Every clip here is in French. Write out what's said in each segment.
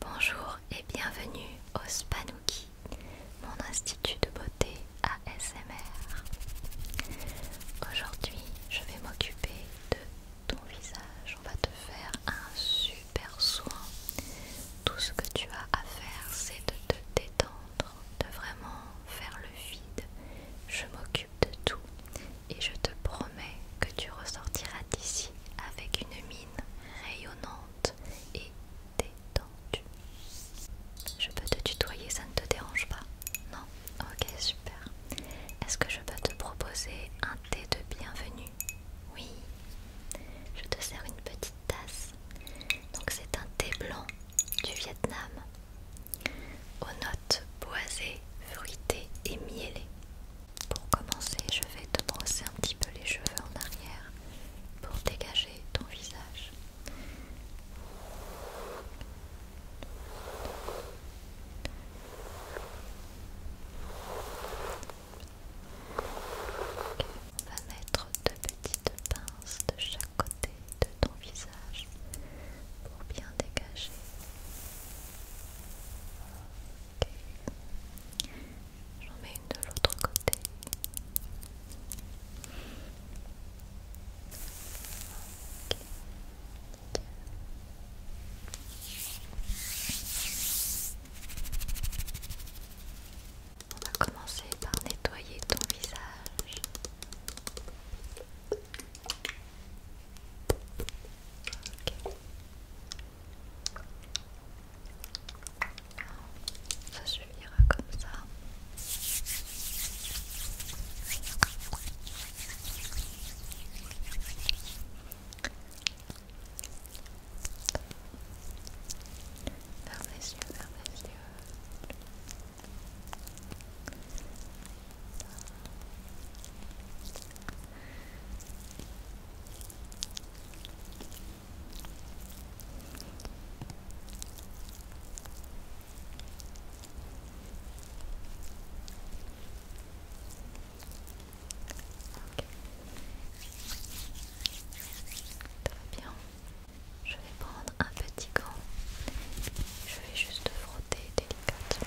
Bonjour et bienvenue au Spanouki, mon institut de beauté ASMR. Aujourd'hui, je vais m'occuper de ton visage. On va te faire un super soin. Tout ce que tu as à faire, c'est de te détendre, de vraiment faire le vide. Je m'occupe de tout et je te promets que tu ressortiras d'ici avec une mine rayonnante et détendue. Je peux te tutoyer, ça ne te dérange pas Non Ok, super. Est-ce que je peux te proposer un thé de bienvenue Oui. Je te sers une petite tasse. Donc c'est un thé blanc du Vietnam aux notes boisées, fruitées et miellées. Pour commencer, je vais te brosser un petit peu les cheveux en arrière pour dégager ton visage. On va mettre deux petites pinces de chaque côté de ton visage pour bien dégager. J'en mets une de l'autre côté. On va commencer par nettoyer ton visage. Ça suffira comme ça. Vers les yeux, vers les yeux bien. Je vais prendre un petit gant. Je vais juste frotter délicatement.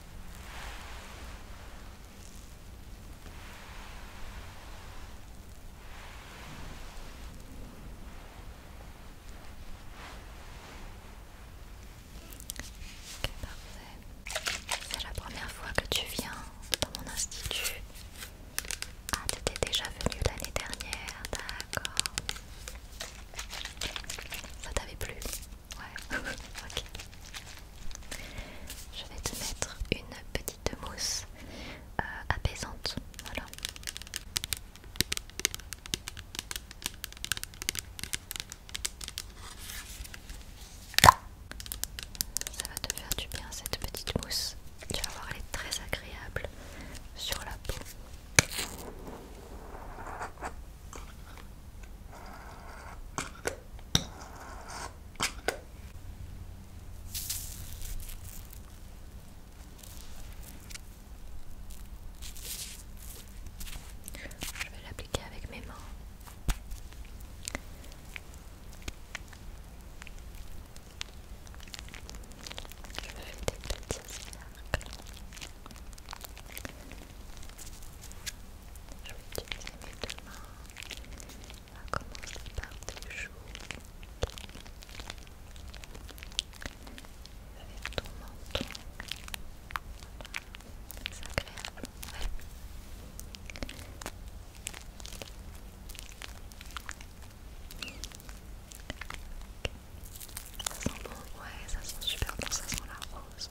C'est la première fois que tu viens dans mon institut. Ah, étais déjà venu l'année dernière, d'accord. Ça t'avait plu Ouais, ok. Je vais te mettre une petite mousse euh, apaisante. Voilà. Ça va te faire du bien cette petite mousse. Tu vas voir, elle est très agréable sur la peau. Je vais l'appliquer avec mes mains. Je vais fais des petits cercles. Je vais utiliser mes deux On va commencer par tes joues. Avec ton menton. C'est agréable. Ouais. Ça sent bon, ouais, ça sent super bon, ça sent la rose.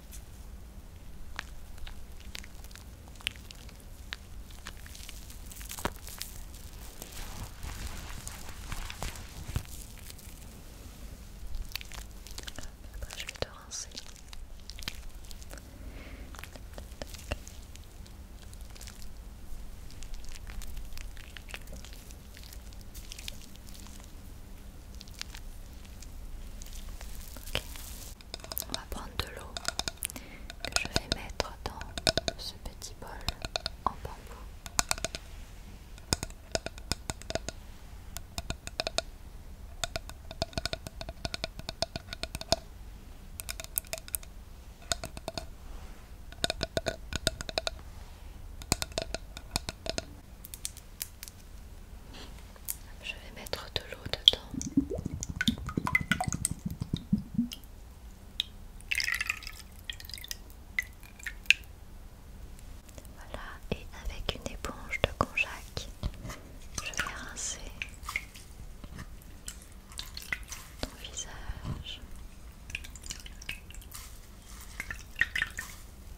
Après, je vais te rincer. On va prendre de l'eau que je vais mettre dans ce petit bol en bambou. Je vais mettre de l'eau dedans. Voilà, et avec une éponge de konjac, je vais rincer ton visage.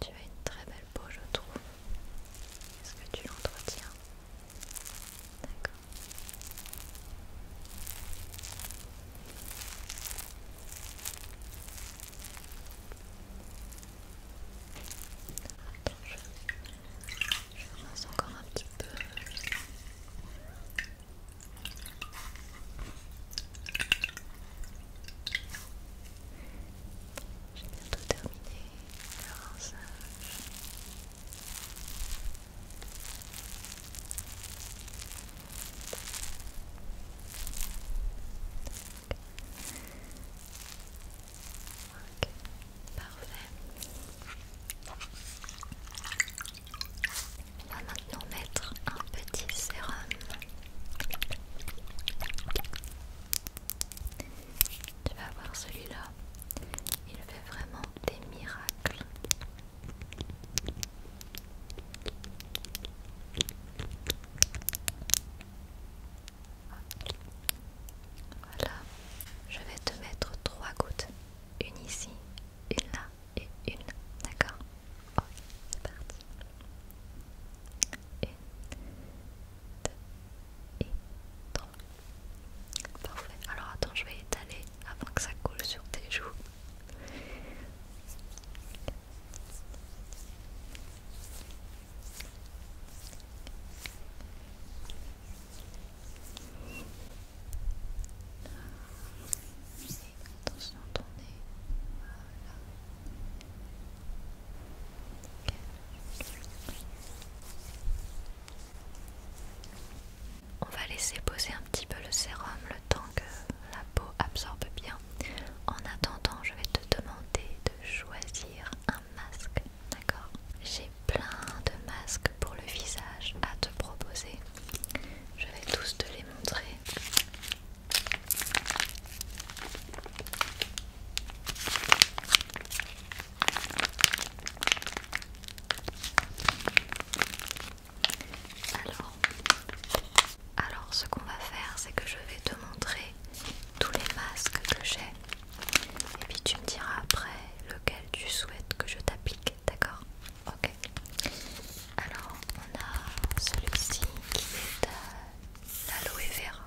Tu as une très belle peau, je trouve. Est-ce que tu l'entretiens D'accord. je, encore un petit peu. J'ai bientôt terminé le rinçage. Ok, Parfait. On va maintenant mettre un petit sérum. Tu vas voir celui-là, il fait vraiment des miracles. Voilà, je vais te mettre trois gouttes, une ici, une là et une, d'accord Ok, c'est parti. Une, deux et 3 Parfait. Alors attends, je vais étaler avant que ça coule sur tes joues. Attention à ton nez. Voilà. On va laisser poser un petit peu le sérum le temps que la peau absorbe bien. En attendant, je vais te demander de choisir un masque, d'accord J'ai plein de masques pour le visage à te proposer. Je vais tous te les montrer. Alors, ce qu'on va faire, c'est que je vais te montrer tous les masques que j'ai. Et puis tu me diras après lequel tu souhaites que je t'applique, d'accord Ok. Alors, on a celui-ci qui est euh, l'aloe vera.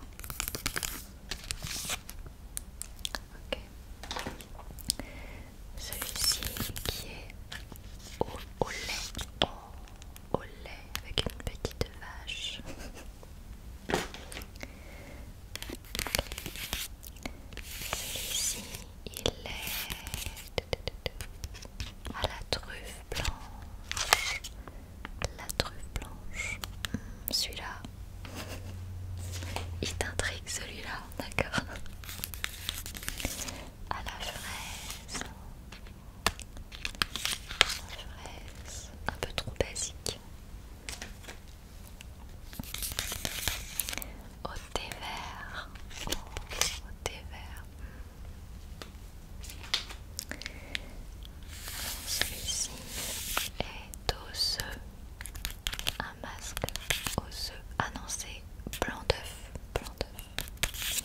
Celui-ci qui est au, lait. Oh, au lait avec une petite vache. Celui-ci, il est à la truffe blanche la truffe blanche. Hmm, celui-là. Il t'intrigue celui-là, d'accord À la fraise. fraise. Un peu trop basique. Au thé vert. Oh, au thé vert. Hmm. Celui-ci est osseux. Un masque osseux. Ah non, c'est blanc d'œuf. Blanc d'œuf.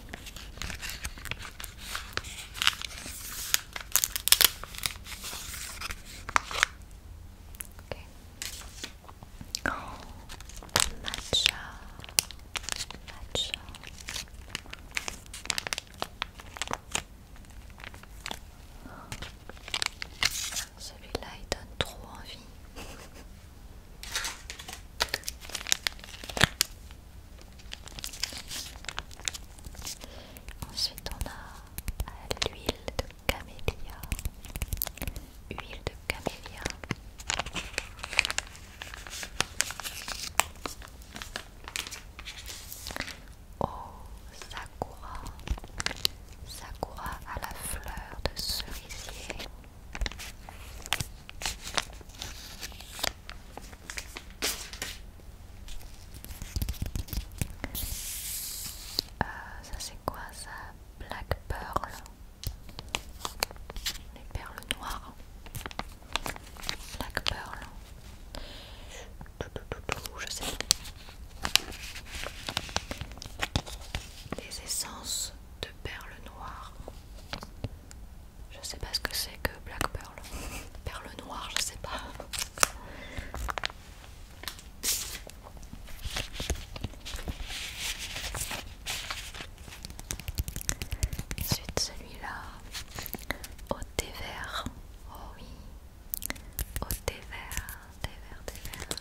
Ok. Oh, matcha, matcha. Celui-là, il donne trop envie. Ensuite, on a l'huile de camélia. Huile de camélia. Oh ça Sakura à la fleur de cerisier. Euh, ça c'est quoi ça Black Pearl. Les perles noires. Black Pearl. Je sais essences de perles noires. Je sais pas ce que c'est que Black Pearl. Perle noires, je sais pas. Ensuite celui-là, des vert. Oh oui. Au oh, thé vert, thé vert, thé vert.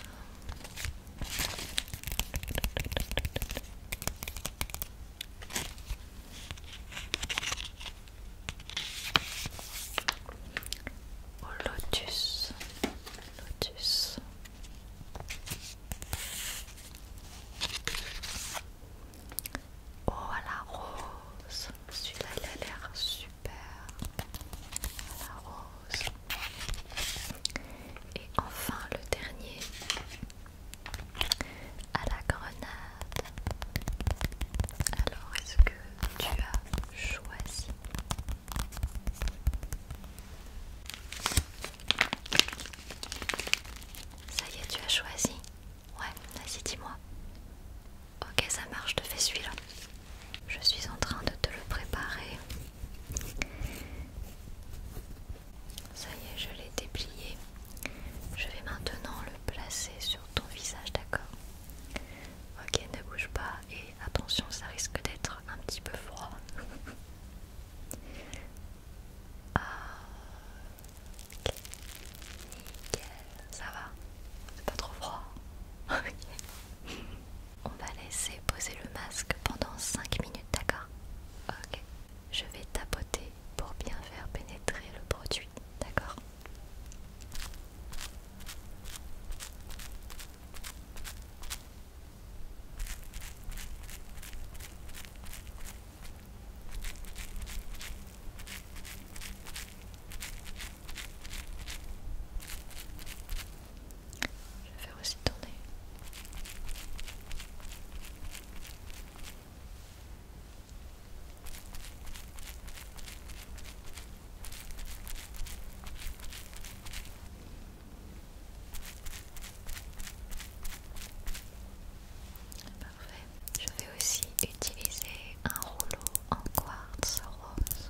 Au oh, lotus. Lotus. Oh à la rose. Celui-là il a l'air super. À la rose. Et enfin le dernier. À la grenade. Alors est-ce que tu as choisi ça y est, tu as choisi Ouais, vas-y, dis-moi. Ok, ça marche, je te fais celui-là. Je suis en train de te le préparer. Ça y est, je l'ai déplié. Je vais maintenant le placer sur ton visage, d'accord Ok, ne bouge pas et attention, ça risque d'être un petit peu froid. Ah. Ok, nickel, ça va, c'est pas trop froid. Hein. on va laisser poser le masque pendant 5 minutes, d'accord Ok, je vais tapoter pour bien faire pénétrer le produit, d'accord je vais faire aussi tourner. Je vais aussi utiliser un rouleau en quartz rose.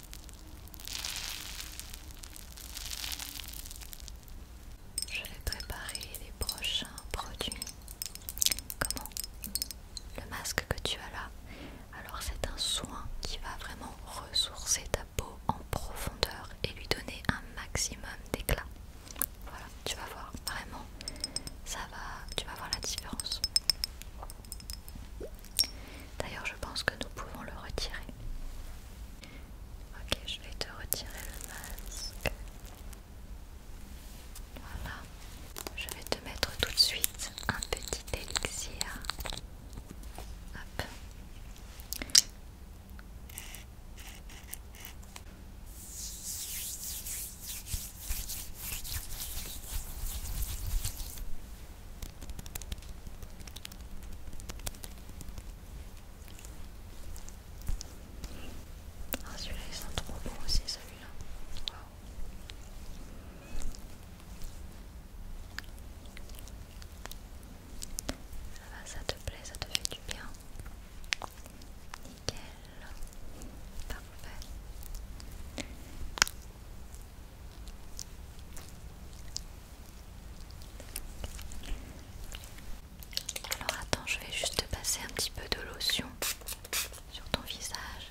Je vais préparer les prochains produits. Comment Le masque que tu as là, alors c'est un soin qui va vraiment ressourcer ta peau en profondeur et lui donner un maximum d'éclat. Voilà, tu vas voir vraiment, ça va, tu vas voir la différence. D'ailleurs, je pense que nous pouvons le retirer. Ok, je vais te retirer le masque. Voilà. Je vais te mettre tout de suite un petit élixir. Ah celui-là il sent trop bon aussi celui-là. Ça va, ça te plaît, ça te fait du bien. Nickel. Parfait. Alors attends, je vais juste passer un petit peu de lotion sur ton visage.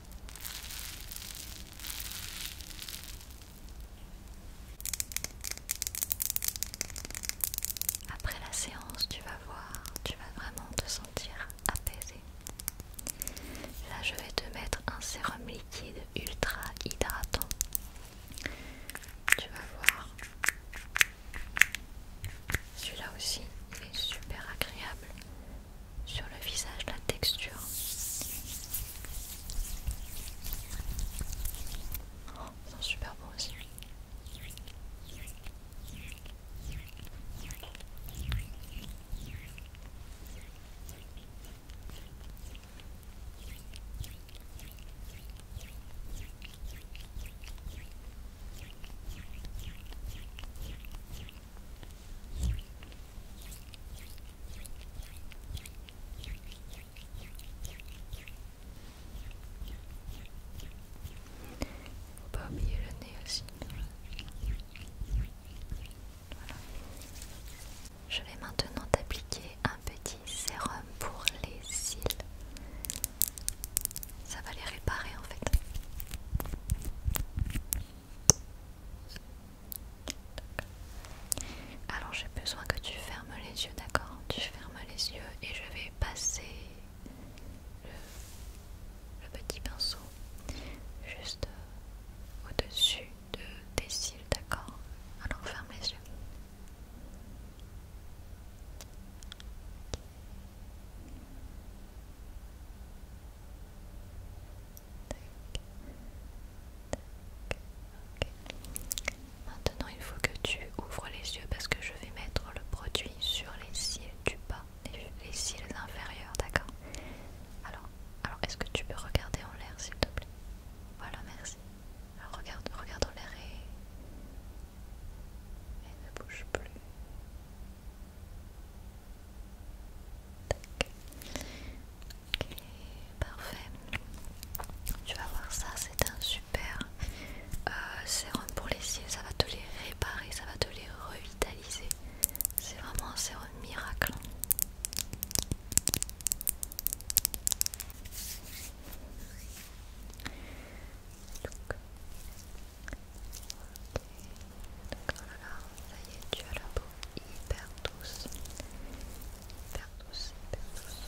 Après la séance, tu vas voir, tu vas vraiment te sentir apaisé. Là, je vais te mettre un sérum liquide ultra hydratant. Tu vas voir. Celui-là aussi, il est super agréable sur le visage la texture. Oh, c'est super beau aussi le nez aussi. Je vais maintenant t'appliquer un petit sérum pour les cils. Ça va les réparer en fait. Alors j'ai besoin que tu fermes les yeux, d'accord Tu fermes les yeux et je vais passer le, petit pinceau juste au-dessus de tes cils, d'accord Alors ferme les yeux. Maintenant, il faut que tu ouvres les yeux parce que je vais mettre le produit sur les cils du bas, les, les cils inférieurs, d'accord Alors, alors est-ce que tu peux regarder en l'air, s'il te plaît Voilà, merci. Alors, regarde, regarde en l'air et ne bouge plus. Ok, parfait. Tu vas voir ça, c'est un super euh, sérum pour les cils. Ça va te les réparer, ça va te les revitaliser. C'est vraiment un sérum miracle. Donc, oh ça y est, tu as la hyper douce, hyper tous, hyper douce.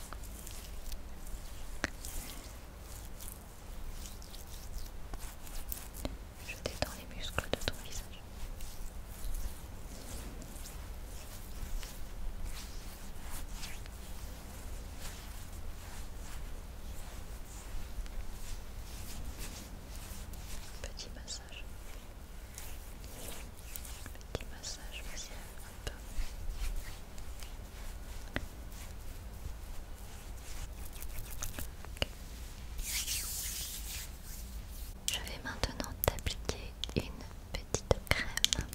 Je détends les muscles de ton visage. Petit massage. Je vais maintenant t'appliquer une petite crème.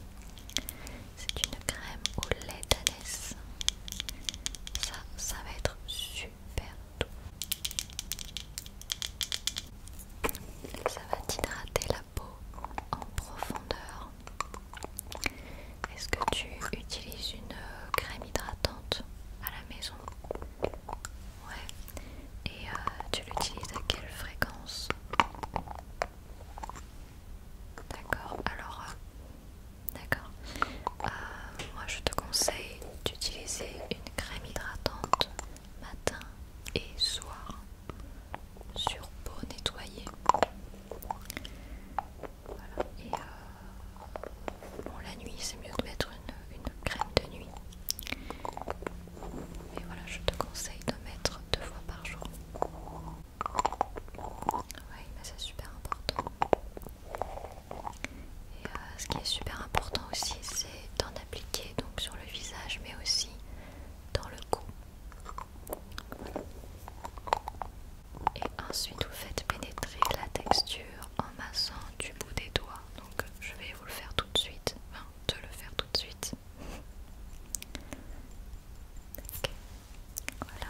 C'est une crème au lait d'anès. Ça, ça va être super doux. Ça va t'hydrater la peau en profondeur. Est-ce que tu utilises une euh, crème hydratante à la maison Ouais. Et euh, tu l'utilises à quelle fréquence D'accord. Alors, euh, d'accord. moi, je te conseille d'utiliser une crème hydratante matin et soir sur peau nettoyée. Voilà. Et euh, bon, la nuit, c'est mieux de mettre une, une crème de nuit. Mais voilà, je te conseille de mettre deux fois par jour. Oui, mais c'est super important. Et euh, ce qui est super important aussi, c'est d'en appliquer donc sur le visage mais aussi dans le cou. Et ensuite vous faites pénétrer la texture en massant du bout des doigts. Donc je vais vous le faire tout de suite, enfin te le faire tout de suite. Voilà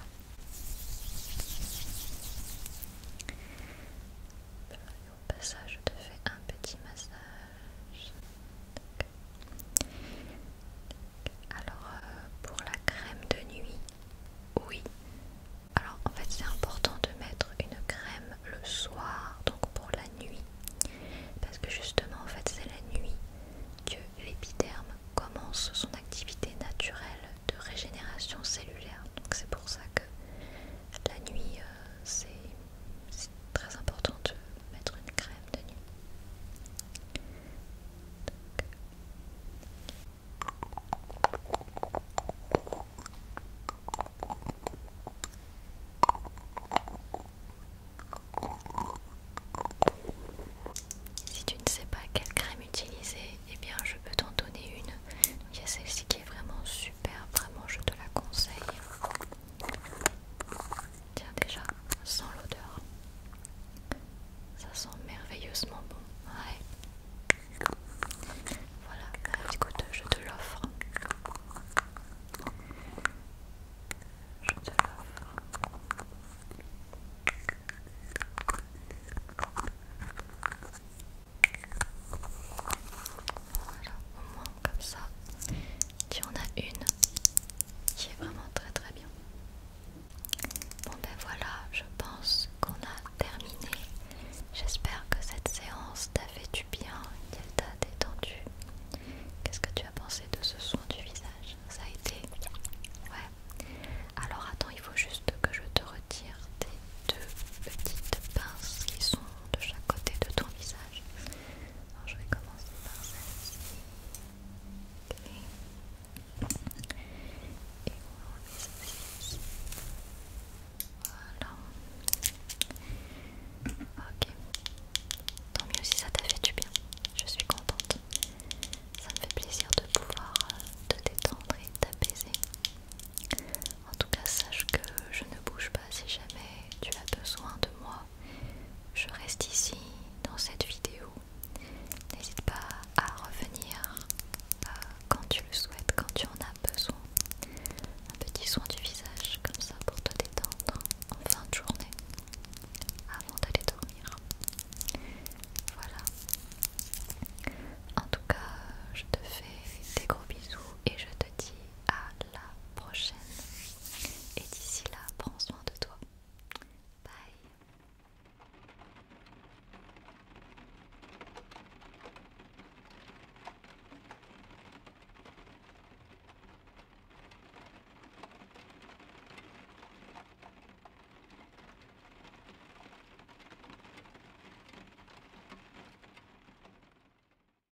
au passage, je te fais un petit massage. Alors, euh, pour la crème de nuit, oui. Alors, en fait, c'est important de mettre une crème le soir, donc pour la nuit. Parce que justement, en fait, c'est la nuit que l'épiderme commence son activité naturelle de régénération cellulaire. Donc, c'est pour ça que la nuit, euh, c'est c'est très important de mettre une crème de nuit. Si tu ne sais pas quelle crème utiliser, eh bien je peux t'en donner une. il y a celle-ci qui est vraiment super, vraiment je te la conseille. Tiens déjà, sans l'odeur. Ça sent merveilleusement bon. Ouais. Voilà, bah, écoute, je te l'offre. Je te l'offre. Voilà, au moins comme ça. Tu en as une qui est vraiment très très bien. Bon ben voilà, je pense qu'on a terminé. J'espère que cette séance t'a fait du bien, qu'elle t'a détendu. Qu'est-ce que tu as pensé de ce soin du visage Ça a été Ouais. Alors attends, il faut juste que je te retire tes deux petites pinces qui sont de chaque côté de ton visage. Alors je vais commencer par celle-ci. ok, Et on Voilà. Ok. Tant mieux si ça t'a fait du bien. Je suis contente. Ça me fait plaisir de pouvoir euh, te détendre et t'apaiser. En tout cas, sache que je ne bouge pas si jamais tu as besoin de moi, je reste ici dans cette vidéo. N'hésite pas à revenir euh, quand tu le souhaites, quand tu en as besoin. Un petit soin du visage comme ça pour te détendre en fin de journée avant d'aller dormir. Voilà. En tout cas, je te fais des gros bisous et je te dis à la prochaine. Et d'ici là, prends soin de toi. Bye.